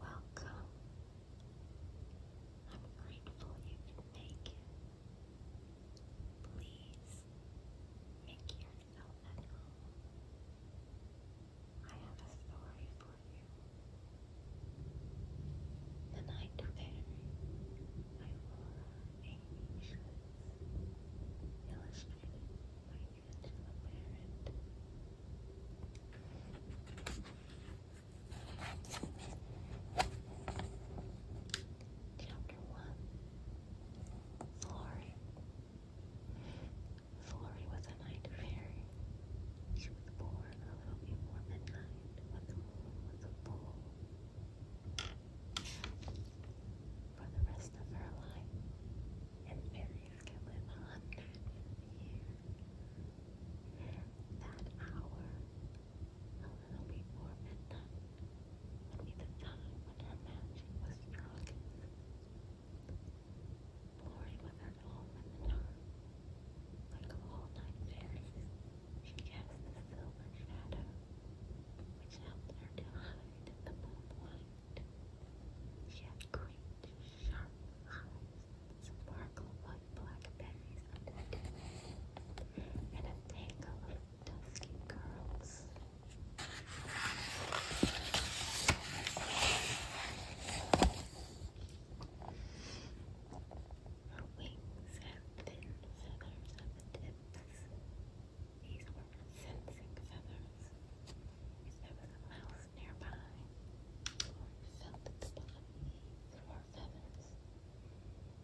Welcome. I'm grateful you can make it. Please make yourself at home. I have a story for you. The night fairy by Laura illustrated Chapter one. Flory. Flory was a night fairy. She was born a little before midnight when the moon was full. For the rest of her life, and fairies can live hundreds of years. That hour, a little before midnight, would the time when magic was strongest. Bored with her like a all night fairy, she cast a silver shadow which helped her to hide the moonlight. She had great, sharp eyes that sparkled blackberries underneath, and a tangle of dusky curls. Her wings had thin feathers at the tips, He's were sensing feathers. there was a mouse nearby, or felt its body, there feathers.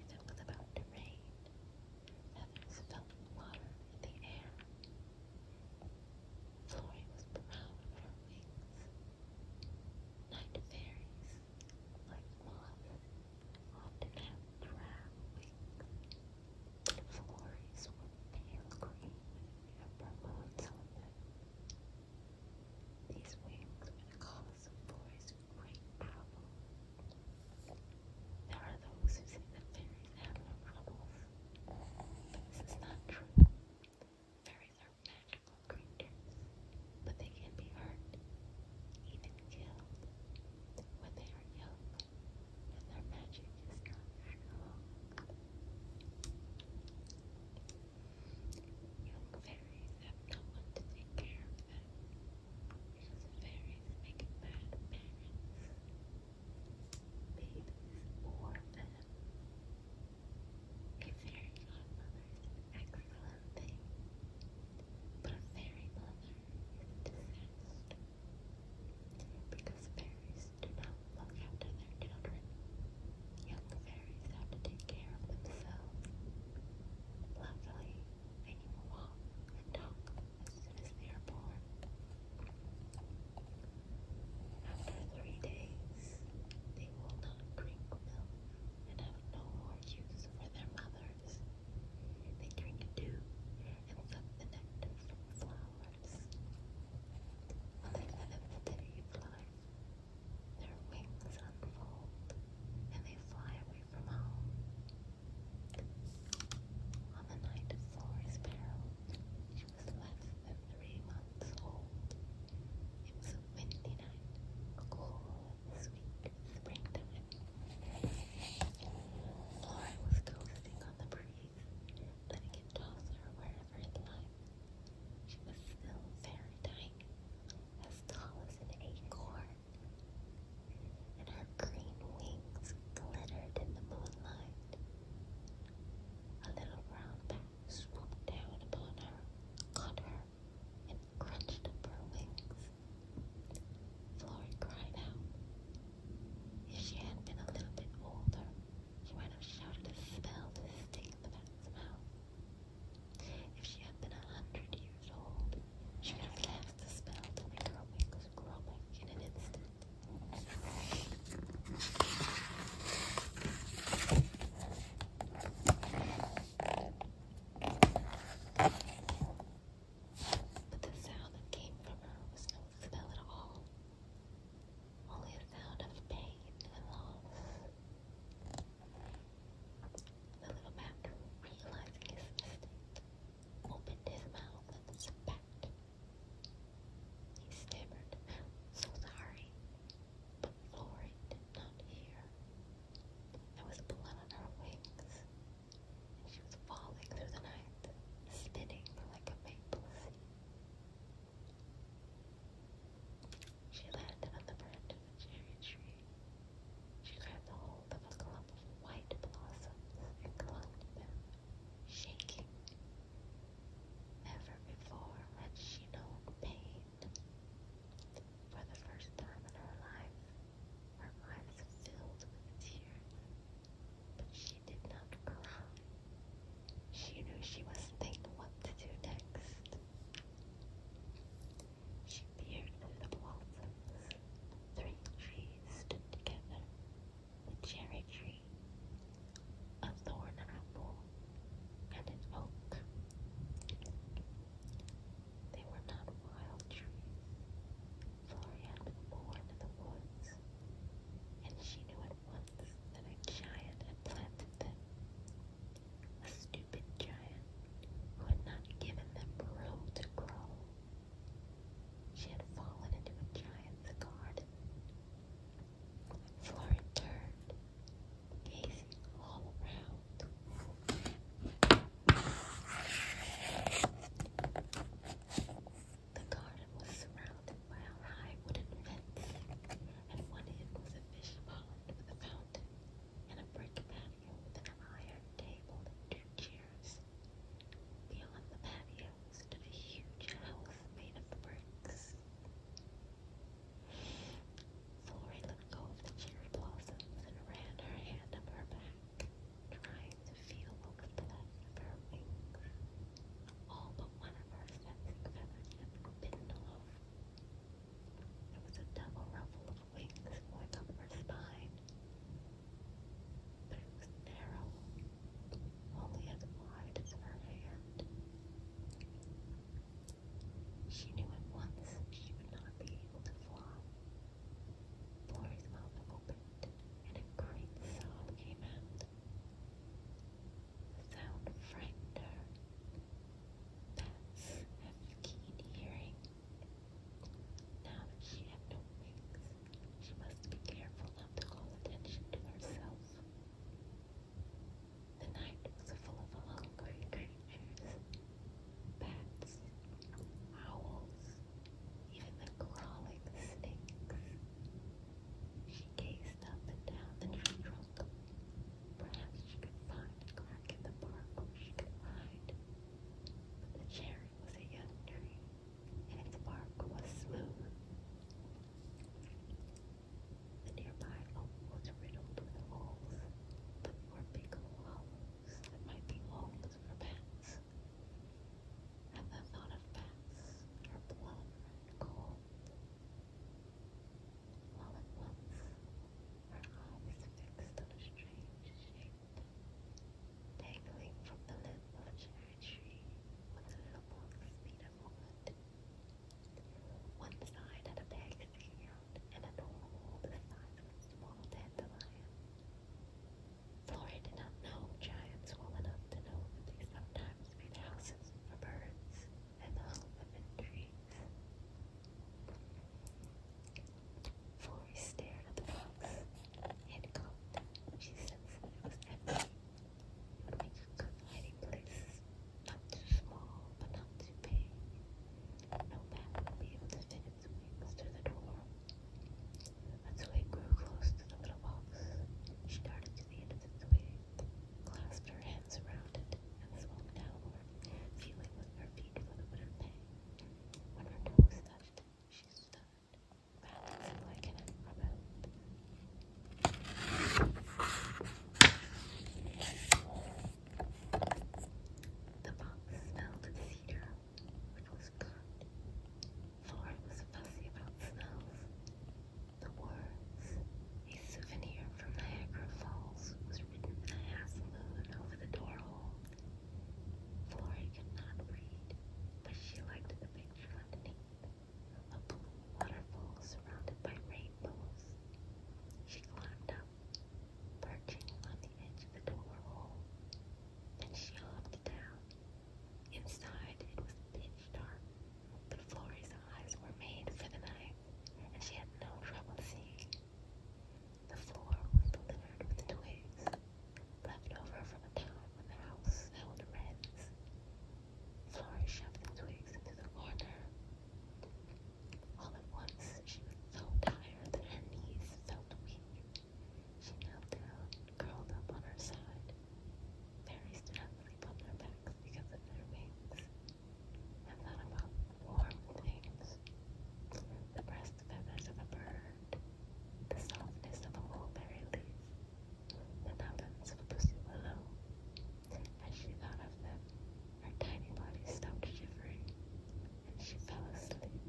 it was about to rain, feathers fell water in the air. Florrie was proud of her wings. Night fairies, like moths, often have brown wings. Flores were pale green and purple on some them. These wings were cause of Flores' great trouble. There are those who say that fairies have no troubles, this is not true. Fairies are magical creatures, but they can be hurt even killed, when they are young and their magic is not strong. Young fairies have no one to take care of them fairies make bad parents, babies, or them. A fairy godmother is an excellent thing, but a fairy mother because fairies do not look after their children. Young fairies have to take care of themselves. Luckily, they can walk and talk as soon as they are born. After three days, they will not drink milk and have no more use for their mothers. They drink dew and suck the nectar from flowers. On the seventh day of life, their wings unfold and they fly away from home. On the night of Flora's peril, she was less three months old. It was a windy night, a cold sweet springtime. Flora was coasting on the breeze, letting it toss her wherever it liked. She was still very tiny, as tall as an acorn, and her green wings glittered in the moonlight. A little brown bat swooped down upon her, caught her, and crunched up her wings. Flory cried out. If she had been a little bit older, she might have shouted a spell to stick the bat's mouth. If she had been a hundred years old, she would have cast the spell to make her wings grow back in an instant. But the sound that came from her was no smell at all, only a sound of pain and loss. The little man, realizing his mistake, opened his mouth and spat. He stammered, so sorry, Florrie did not hear. There was blood on her wings, and she was falling through the night, spinning like a maple seed. She landed on the branch of a cherry tree. She grabbed hold of a clump of white blossoms and clung to them, shaking. Never before had she known pain for the first time in her life, her eyes filled with tears, but she did not cry. She knew she was thinking what to do next. She peered through the blossoms. Three trees stood together. The cherry tree, a thorn apple, and an oak. They were not wild trees. Floria had been born in the woods, and she knew at once that a giant had planted them. A stupid giant who had not given them room to grow. She had fallen into a giant's garden, Flora turned, gazing all around. The garden was surrounded by a high wooden fence. and one end was a fish pond with a fountain and a brick patio with an iron table and two chairs. Beyond the patio was a huge house made of bricks. Florrie let go of the cherry blossoms and ran her hand up her back, trying to feel what was left her wings. All but one of her feathers had bitten off. There was a double ruffle of wings going up her spine, but it was narrow only as wide as her hand. She knew at once she would not be able to fly. Boy's mouth opened, and a great sob came out. The sound frightened her. Bats have keen hearing. Now she had no wings, she must be careful not to call attention to herself. The night was full of hungry creatures, bats, owls, even the crawling snakes. She gazed up and down the tree Perhaps she could find a crack in the bark where she could hide. But the cherry was a young tree, and its bark was smooth. The nearby oak was riddled with holes, but more big hollows that might be holes for bats. At the thought of bats, her blood ran cold, while at once her eyes fixed on a strange shape dangling from the limb of a tree was a little box made of wood. One side had a bag sticking and an hole the size of a small dandelion. Flora did not know giants well enough to know that they sometimes made houses for birds and hung them trees. Flora stared at the box head coat. She said Florence at You make a good hiding place. Not too small, but not too big. No man would be able to fit its wings through the door. Until it grew close to the little box, she darted to the end of the clasped her hands around it, and swung downward, feeling with her feet for the wooden peg. When her toes touched she stood. The box smelled of cedar, which was good. Flora was fussy about smells. The words, a souvenir from Niagara Falls, was written in a hassle moon over the door hole. Florrie could not read, but she liked the picture underneath, a blue waterfall surrounded by rainbows. She climbed up, perching on the edge of the door hole. Then she looked down. Inside, it was pitch dark, but Florrie's eyes were made for the night, and she had no trouble seeing. The floor was littered with twigs left over from a time when the house held rats. Flora shoved the twigs into the corner. All at once, she was so tired that her knees felt weak. She knelt down, curled up on her side. Fairies did not sleep on their backs because of their wings. And thought about warm things the breast feathers of a bird, the softness of a mulberry leaf, the nubbins of a pussy willow. As she thought of them, her tiny body stopped shivering, and she fell asleep.